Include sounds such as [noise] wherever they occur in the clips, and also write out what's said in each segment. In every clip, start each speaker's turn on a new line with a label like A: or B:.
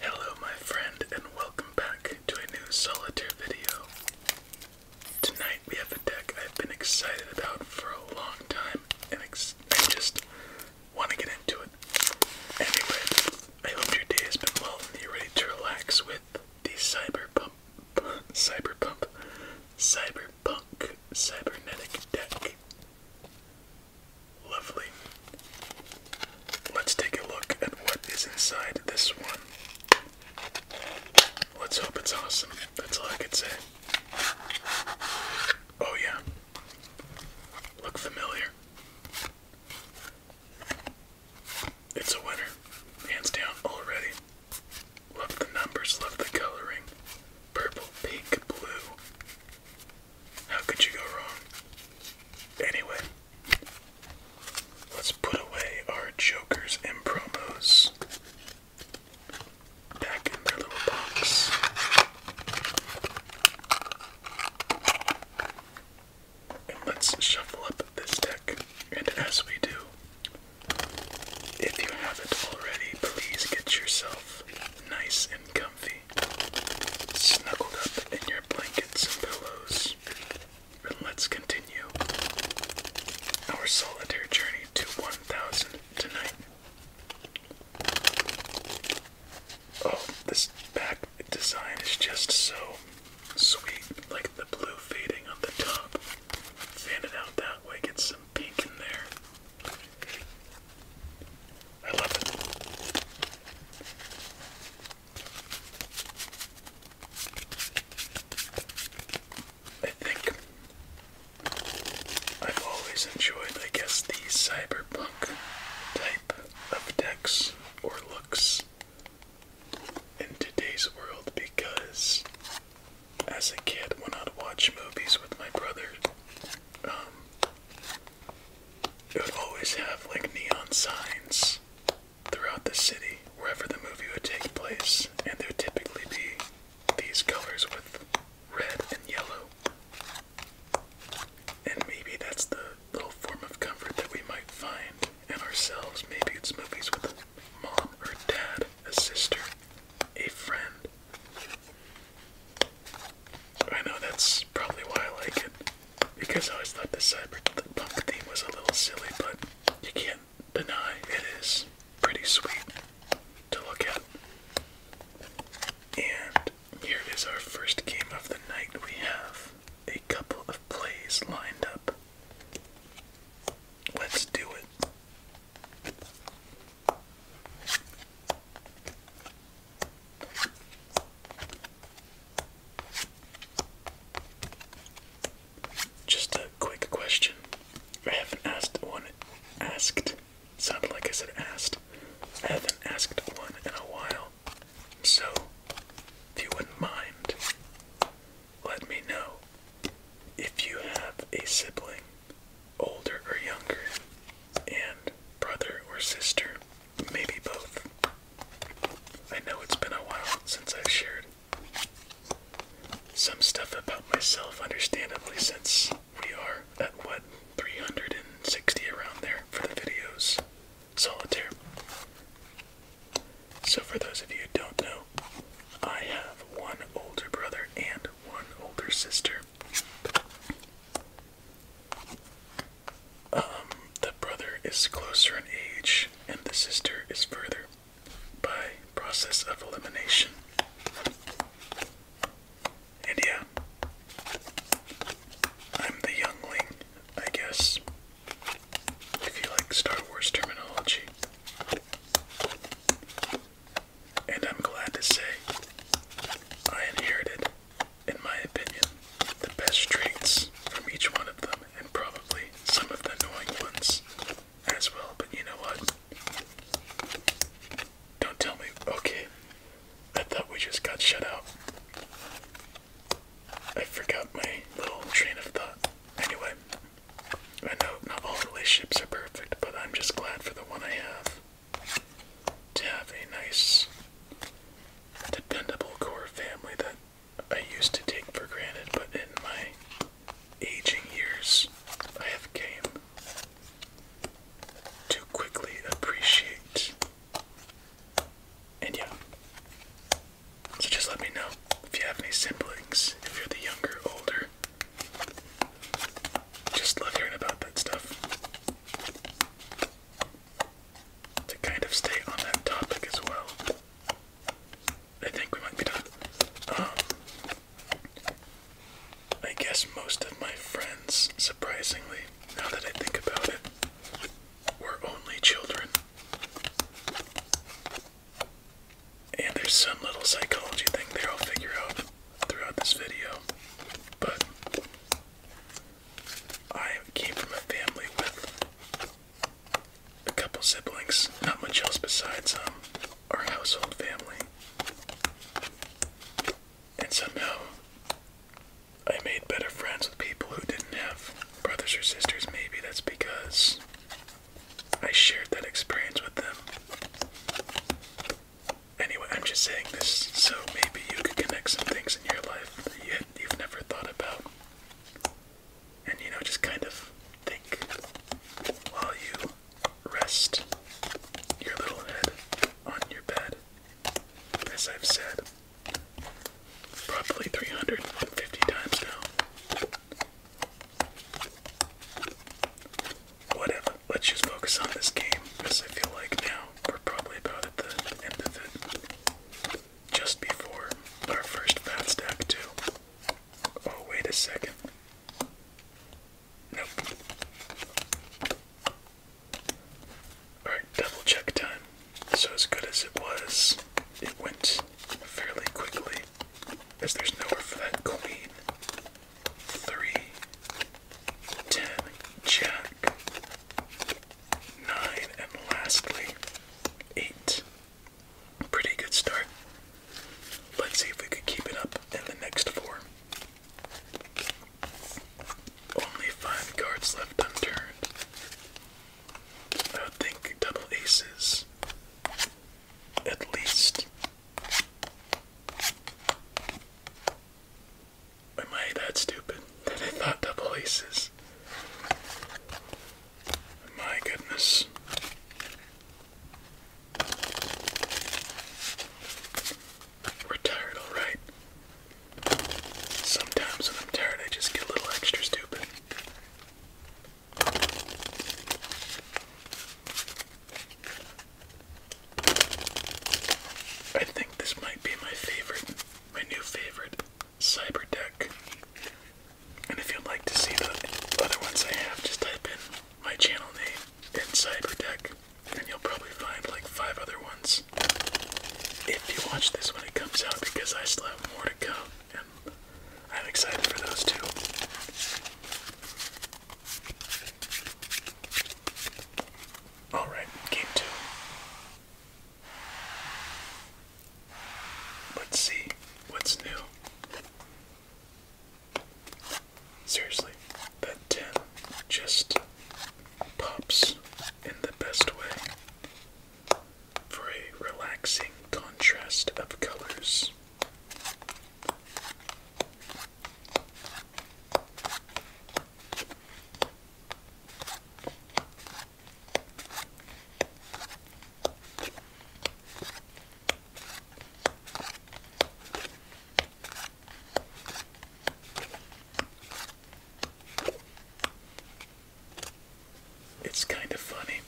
A: Hello, my friend, and welcome back to a new solitaire video. Tonight we have a deck I've been excited about for a long time, and I just want to get into it. Anyway, I hope your day has been well and you're ready to relax with the cyber [laughs] cyberpunk, cyber Cyberpunk Cybernetic Deck. Lovely. Let's take a look at what is inside this one. Let's hope it's awesome. That's all I could say. Oh, yeah. Look familiar. It's a winner. Hands down already. Love the numbers, love the coloring. Purple, pink, blue. How could you go wrong? Anyway, let's put away our jokers and promos back in their little box. And let's shuffle up this deck. And as we do, if you haven't already, please get yourself nice and comfy, snuggled up in your blankets and pillows, and let's continue our solitary journey to 1000 tonight. Oh, this back design is just so sweet, like the blue fading on the top Fan it out that way, get some pink in there. I love it. I think I've always enjoyed, I guess, the cyberpunk type of decks or looks in today's world because as a kid when I'd watch movies with my brother, um, it would always have like neon signs throughout the city wherever the movie would take place, and there would typically be these colors with red and yellow. And maybe that's the little form of comfort that we might find in ourselves. Maybe it's movies with mom or dad, a sister, a friend. I know that's probably why I like it, because I always thought the cyberpunk theme was a little silly, but you can't deny it is pretty sweet to look at. And here is our first game of the night. We have a couple of plays lined up. Let's do it. Just a quick question. I haven't asked one asked. Sounded like I said asked. I haven't asked one in a while. So, if you wouldn't mind, let me know if you have a sibling older or younger, and brother or sister, maybe both. I know it's been a while since I've shared some stuff about myself, understandably, since we are at what 360 around there for the videos solitaire. So, for those of you who don't know, I have one older brother and one older sister. Um, the brother is closer in age, and the sister is further by process of elimination. And yeah, I'm the youngling, I guess, if you like Star Wars terminology. And I'm glad to say I inherited, in my opinion, the best traits from each one of them, and probably some of the annoying ones as well. But you know what? Don't tell me. Okay. I thought we just got shut out. I forgot my little train of thought. Anyway, I know not all relationships are perfect, but I'm just glad for the one I have. To have a nice, dependable core family that I used to take for granted, but in my aging years, I have came to quickly appreciate. And yeah. So just let me know if you have any siblings, if you're the younger, older, just love hearing about that stuff. To kind of stay on that topic as well. I think we might be done. Um, I guess most of my friends, surprisingly, now that I think about it, were only children. And there's some little psychology thing there I'll figure out throughout this video. But I came from a family with a couple siblings, not much else besides um, our household family. And somehow I made better friends with people who didn't have brothers or sisters. Maybe that's because I shared that experience with them. Anyway, I'm just saying this so maybe you could connect some things in your life that you you've never thought about. And you know, just kind of think while you rest your little head on your bed. As I've said probably 350 times now whatever. Let's just focus on this game because I feel like now we're probably about at the end of it. Just before our first fat stack, too. Oh, wait a second. Nope. Alright, double check time. So, as good as it was, it went fairly quickly, as there's nowhere for that queen three, ten, jack, nine, and lastly, eight. Pretty good start. Let's see if we can keep it up in the next four. Only five cards left unturned. I think double aces at least. Am I that stupid that I thought double aces? My goodness. We're tired, alright. Sometimes when I'm tired, I just get a little extra stupid. I think this might be my favorite, my new favorite cyber deck. And if you'd like to see the other ones I have, just type in my channel name and cyber deck, and you'll probably find like five other ones. If you watch this when it comes out, because I still have more to come, and I'm excited for those too. All right, game two. Let's see what's new. Seriously, that 10 just pops in the best way for a relaxing contrast of colors. It's kind of funny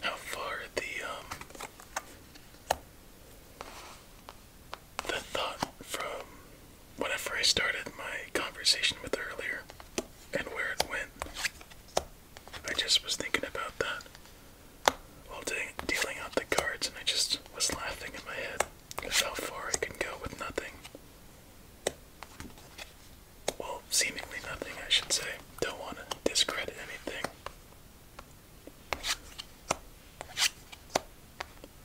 A: how far the um the thought from whenever I started my conversation with earlier and where it went. I just was thinking about that while dealing out the cards, and I just was laughing in my head at how far I can go with nothing. Well, seemingly nothing, I should say. Don't want to discredit anything.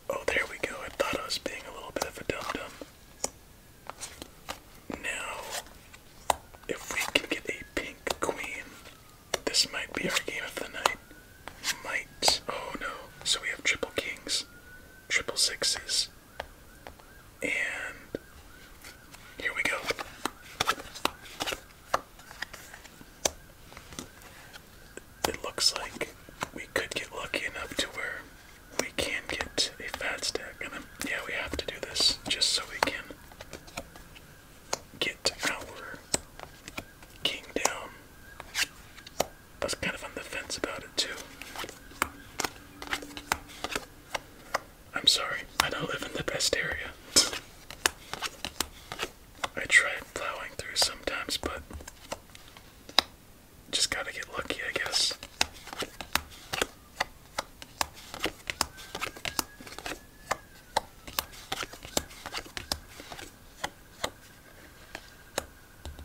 A: Oh, there we go. I thought I was being a little bit of a dum dum. Now, if we can get a pink queen, this might be our game of the night. Might. Oh no. So we have triple kings, triple sixes, and here we go it looks like we could get lucky enough to where we can get a fat stack. And then, yeah, we have to do this just so we can get our king down. I was kind of on the fence about it too. I'm sorry, I don't live in the best area. I try plowing through sometimes, but just gotta get lucky, I guess.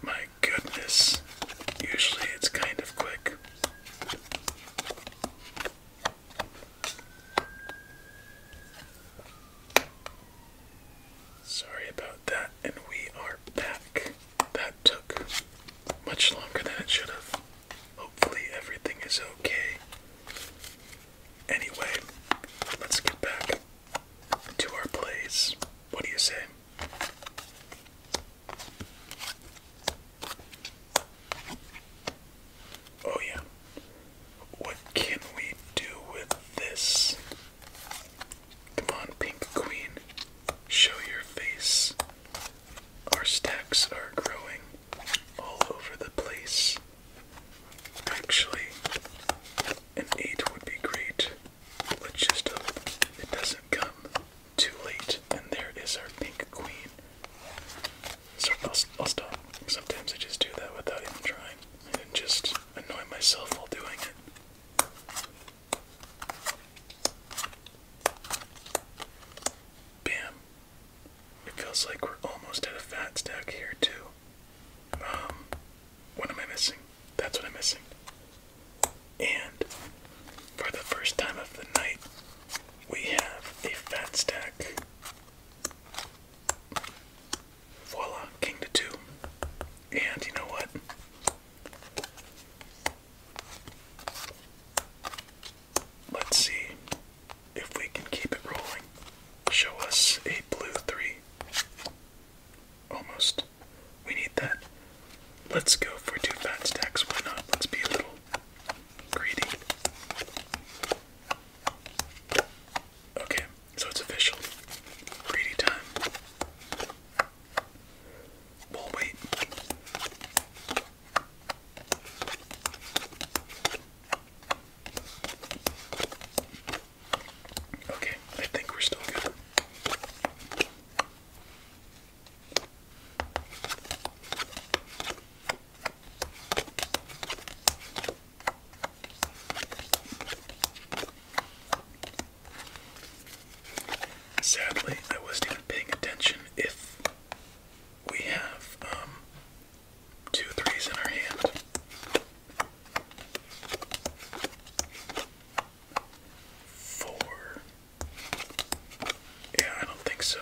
A: My goodness, usually it's kind of quick. Sorry about that, and we are back. That took much longer than it should have. Hopefully, everything is okay. Anyway, let's get back to our plays. What do you say? Oh, yeah. What can we do with this? Come on, Pink Queen. Show your face. Our stacks are growing all over the place. Actually, an 8 would be great. But just hope it doesn't come too late. And there is our Pink Queen. So I'll stop. Sometimes I just do that without even trying and just annoy myself while doing it. Bam. It feels like we're almost at a fat stack here, too. Um, what am I missing? That's what I'm missing. And for the first time of the night, we have a fat stack. Voila, king to two. And you know what? Let's see if we can keep it rolling. Show us a blue three. Almost. We need that. Let's go for two fat stacks. Why not? Let's be a little greedy. Okay, so it's official. Greedy time. We'll wait. Okay, I think we're still good. Sadly, I wasn't paying attention if we have um, two threes in our hand. Four. Yeah, I don't think so.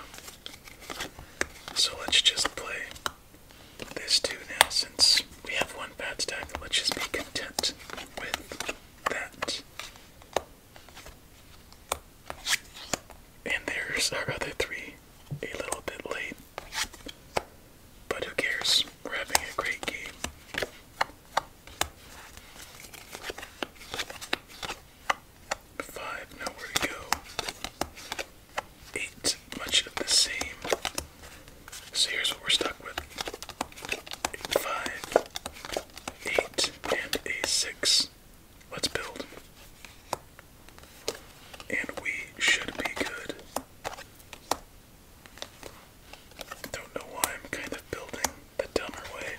A: So let's just play there's two now since we have one bad stack. Let's just be content with that. And there's our other three a little bit late. But who cares? We're having a great game. Five, nowhere to go. Eight, much of the same. So here's what we're stuck with. five, eight, and a six. Let's build. And we should be good. Don't know why I'm kind of building the dumber way.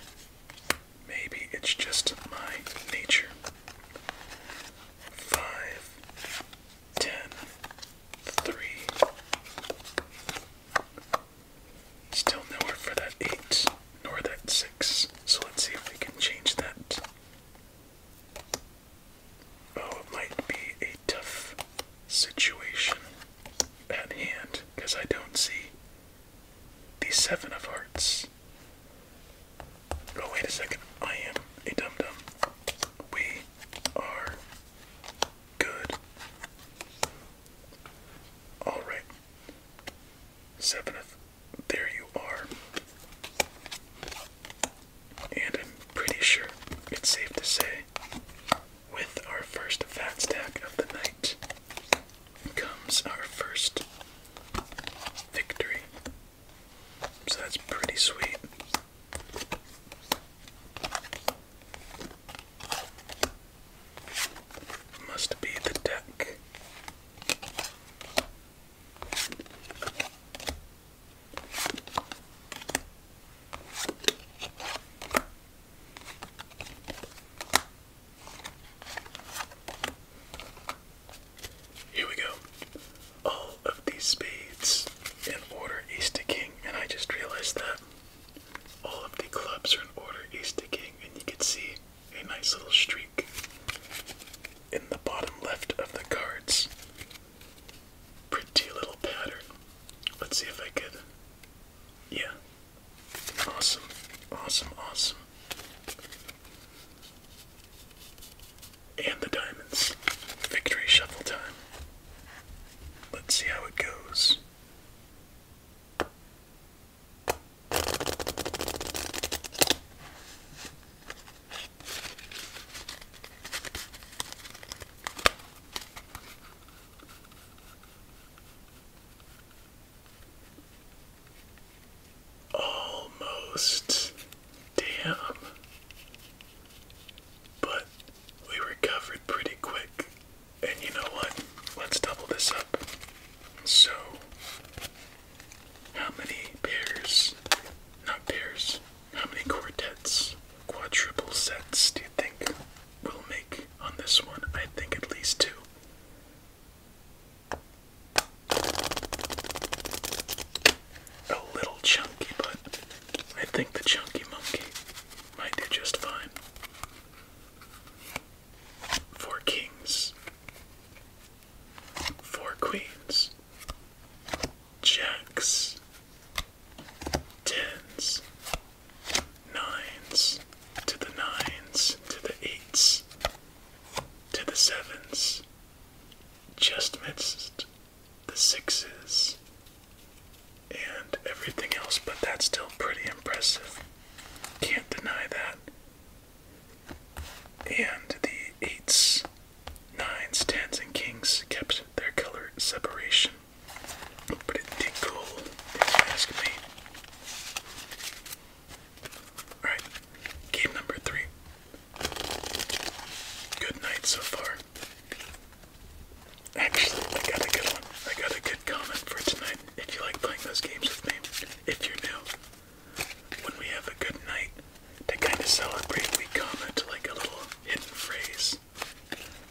A: Maybe it's just my nature. Five, 10, Still nowhere for that 8 nor that 6, so let's see if we can change that. Oh, it might be a tough situation at hand because I don't see the 7 of hearts. Oh, wait a second. I am a dum dum. We are Good. Alright. Seventh, there you are. And I'm pretty sure it's safe to say, with our first fat stack of the night comes our first victory. So that's pretty sweet. Must be the deck. Here we go. Oh, All these spades in order east to king, and I just realized that all of the clubs are in order east to king, and you can see a nice little streak in the bottom left of the cards. Pretty little pattern. Let's see if I could. Yeah. Awesome. Awesome. Awesome. And the diamonds. Victory shuffle time. Let's see how it goes. Almost. Damn. But we recovered pretty quick. And you know what? Let's double this up. So, how many pairs, not pairs, how many quartets, quadruple sets do you think we'll make on this one? I think at least two. A little chunky, but I think the chunky monkey might do just fine. Four kings, four queens, jacks, tens, nines, to the nines, to the eights, to the sevens, just missed the sixes, and everything else, but that's still pretty impressive. Can't deny that. And the eights, nines, tens, and kings kept their color separation. Pretty cool, if you ask me. Alright, game number three. Good night so far. Actually, I got a good one. I got a good comment for tonight. If you like playing those games with me, if you're new, when we have a good night, to kind of celebrate, we comment like a little hidden phrase.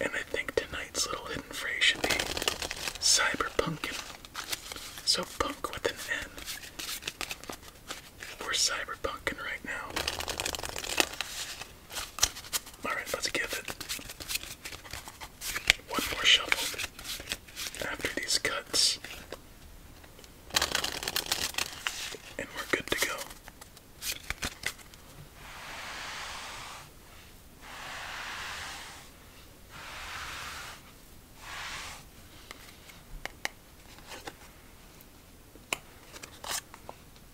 A: And I think tonight's little hidden phrase should be cyberpunkin. So punk with an N. We're cyberpunkin right now. Alright, let's give it one more shuffle after these cuts. And we're good to go.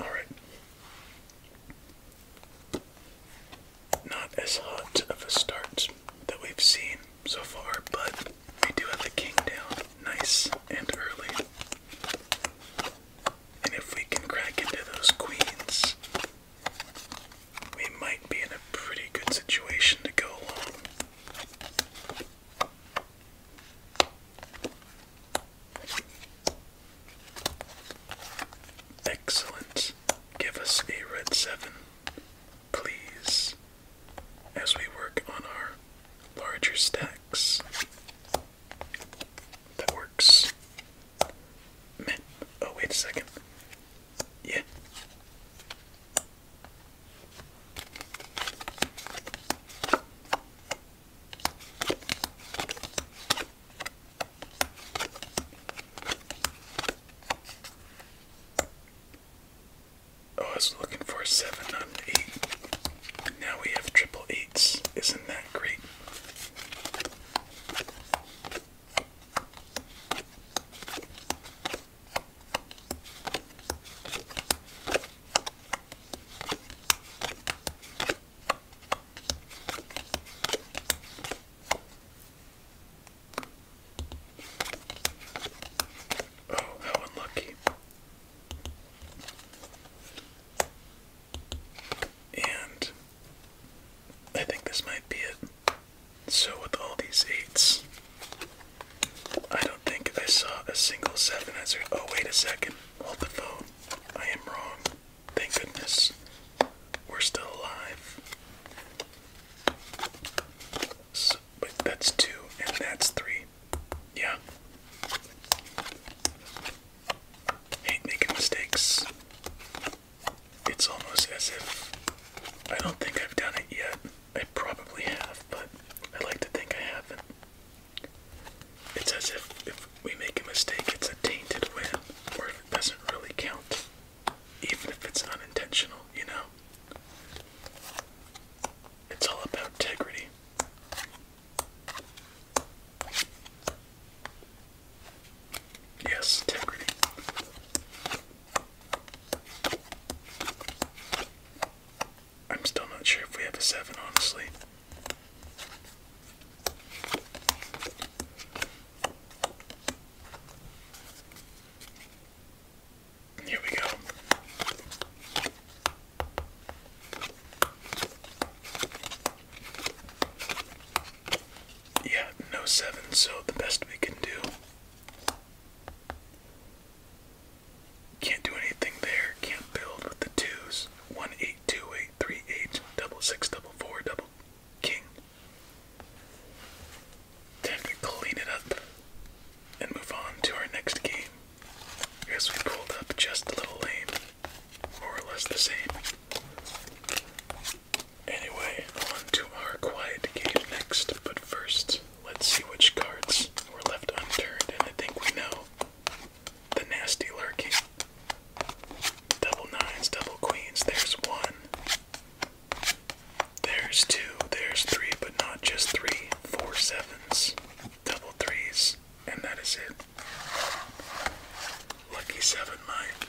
A: All right. Not as hot of a start that we've seen so far, but we do have the king down nice and early. And if we can crack into those queens, we might be in a pretty good situation to go along. Excellent. Give us a red 7, please, as we work on our larger stacks. That works. oh, wait a second. Yeah. I was looking for seven, not eight. Now we have triple eights. Isn't that great? Oh, how unlucky. And I think this might be it. So, with all these eights, I don't think I saw a single seven as Oh, wait a second. Hold the phone. I am wrong. Thank goodness. We're still alive. but that's two, and that's three. Yeah. Hate making mistakes. It's almost as if I don't think I've done it yet. I probably have, but I like to think I haven't. It's as if if we make a mistake, it's a tainted win, or if it doesn't really count, even if it's unintentional, you know? It's all about integrity. Yes, integrity. I'm still not sure if we have a 7, honestly. Here we go. Yeah, no seven, so the best we can do can't do anything there. Can't build with the twos. One eight two eight three eight double six double four double king. Time to clean it up and move on to our next game. Yes, we pulled up just a little lame, more or less the same. Anyway, on to our quiet game next, but first, let's see which cards were left unturned, and I think we know the nasty lurking. Double nines, double queens, there's one. There's two, there's three, but not just three. Four sevens, double threes, and that is it. Lucky seven, Mike.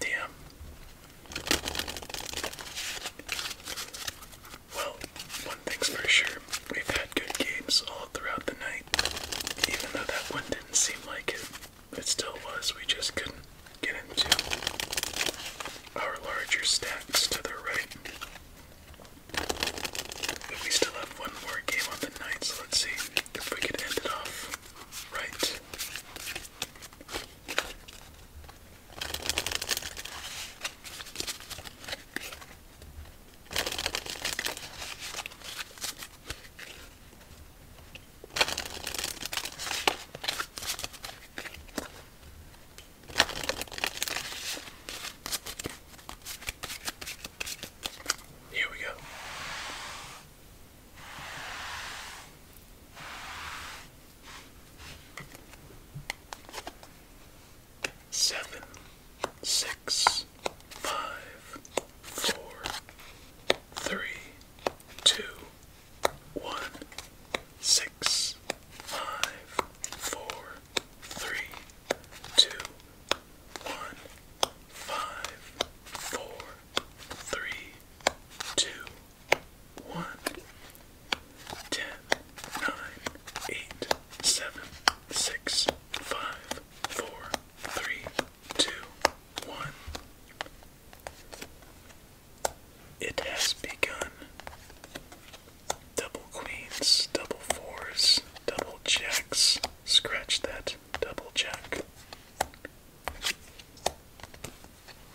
A: Damn. Well, one thing's for sure, we've had good games all throughout the night. Even though that one didn't seem like it, it still was. We just couldn't get into our larger stacks to the right we still have one more game on the night, so let's see if we can end it off right. Here we go. Seven, six, five, four, three, two, one, six, five, four, three, two, one, five, four, three, two, one, ten, nine, eight, seven, six, five, four, three, two, one. It has begun. Double queens, double fours, double checks, scratch that double check.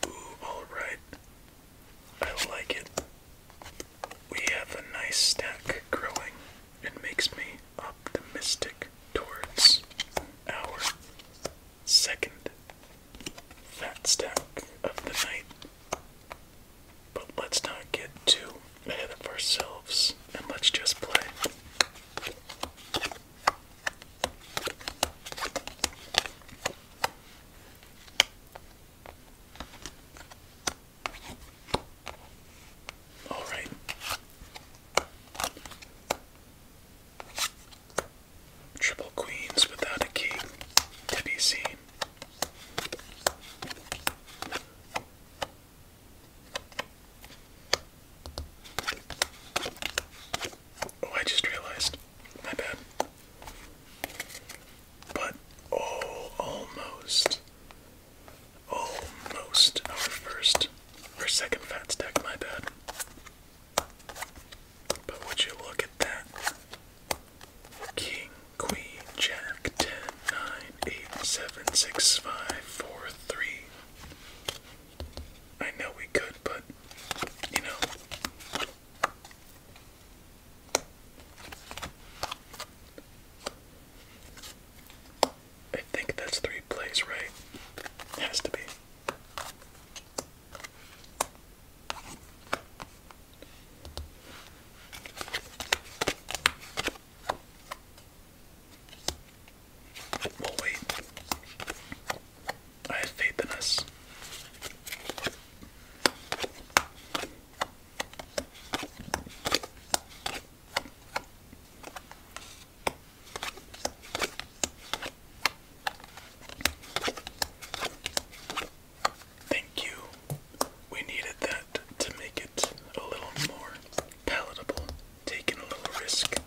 A: Ooh, alright. I like it. We have a nice stack growing. It makes me optimistic towards our second fat stack of the night. But let's not get too ahead of ourselves and let's just play. All right. Triple queens without a king to be seen. Oh, I just realized. My bad. But, oh, almost. Almost our first our second fat stack, my bad. But would you look at that? King, Queen, Jack, 10, eight seven six five four three. I know we could, but you know. I think that's three plays, right? has to be. We'll wait. I have faith in us. Thank you. We needed that to make it a little more palatable, taking a little risk.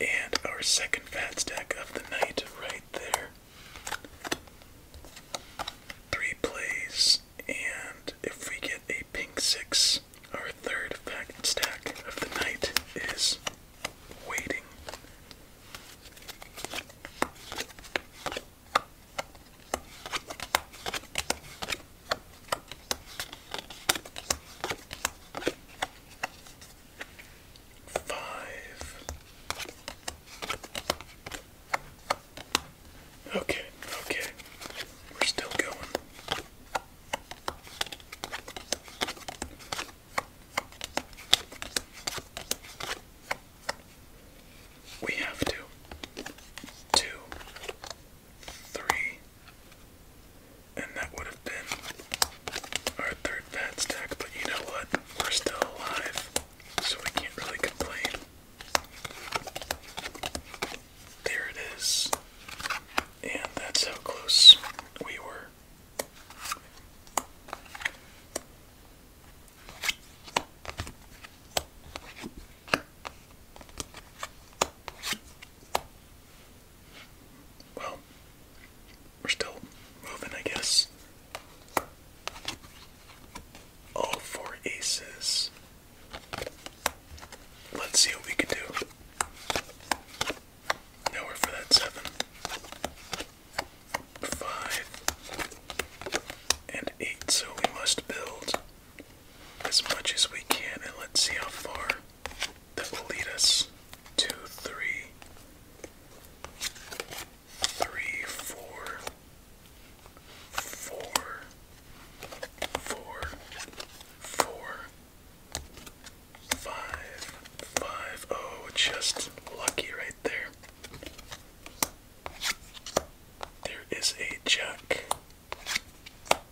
A: And our second fat stack of the night, right there. Three plays, and if we get a pink six, our third fat stack of the night is waiting. Five. Okay, okay. We're still going we have to two, three, and that would have been our third bad stack, but you know what? We're still alive, so we can't really complain. There it is. And that's how close we were. Well, we're still moving, I guess. All four aces. Let's see what we can do. Nowhere for that seven. Five and eight, so we must build as much as we can, and let's see how far that will lead us. Two, three, three, four, four, four, four, five, five. Oh, just lucky right there. There is a jack.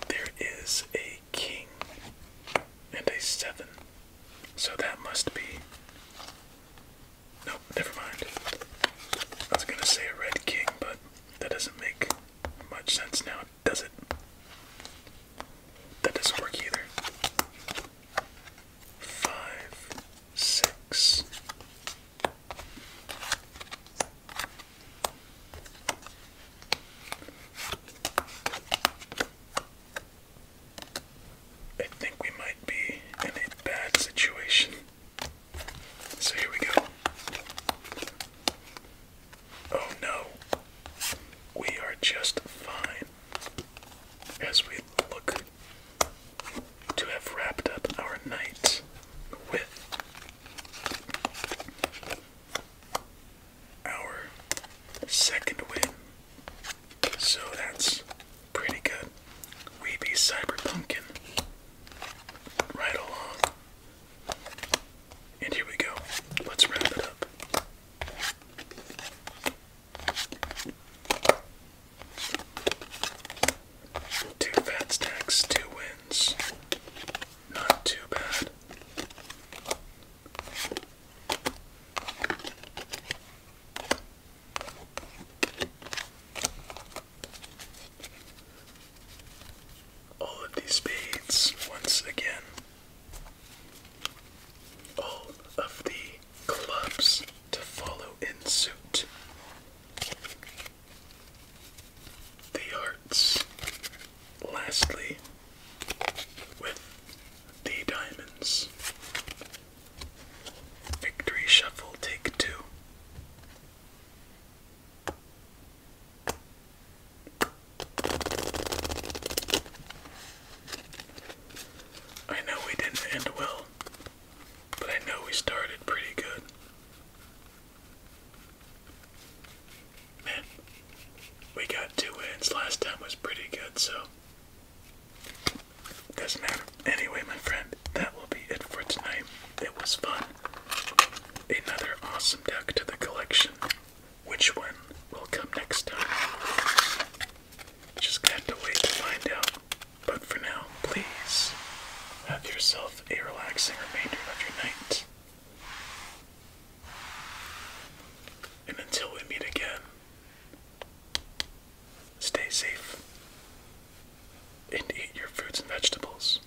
A: There is a king and a seven. So that must be. No, never mind. I was gonna say a red king, but that doesn't make much sense now, does it? That doesn't work either. Five, six, I think we might be in a bad situation. So here we go. Oh no, we are just fine as we look to have wrapped up our night with our second win. So that's pretty good. We be Cyber Right along. And here we go. Let's wrap it up. Two fat stacks, two wins. Not too bad. All of these spades once again. All of the clubs to follow in suit the hearts, lastly, with the diamonds. Victory shuffle, take two. I know we didn't end well, but I know we started pretty good. Man, we got two wins. Last time was pretty good, so. Doesn't matter. Anyway, my friend, that will be it for tonight. It was fun. Another awesome deck to the collection. Which one will come next time? Just gonna to wait to find out. But for now, please have yourself a relaxing remainder of your night. And until we meet again, stay safe and eat your fruits and vegetables.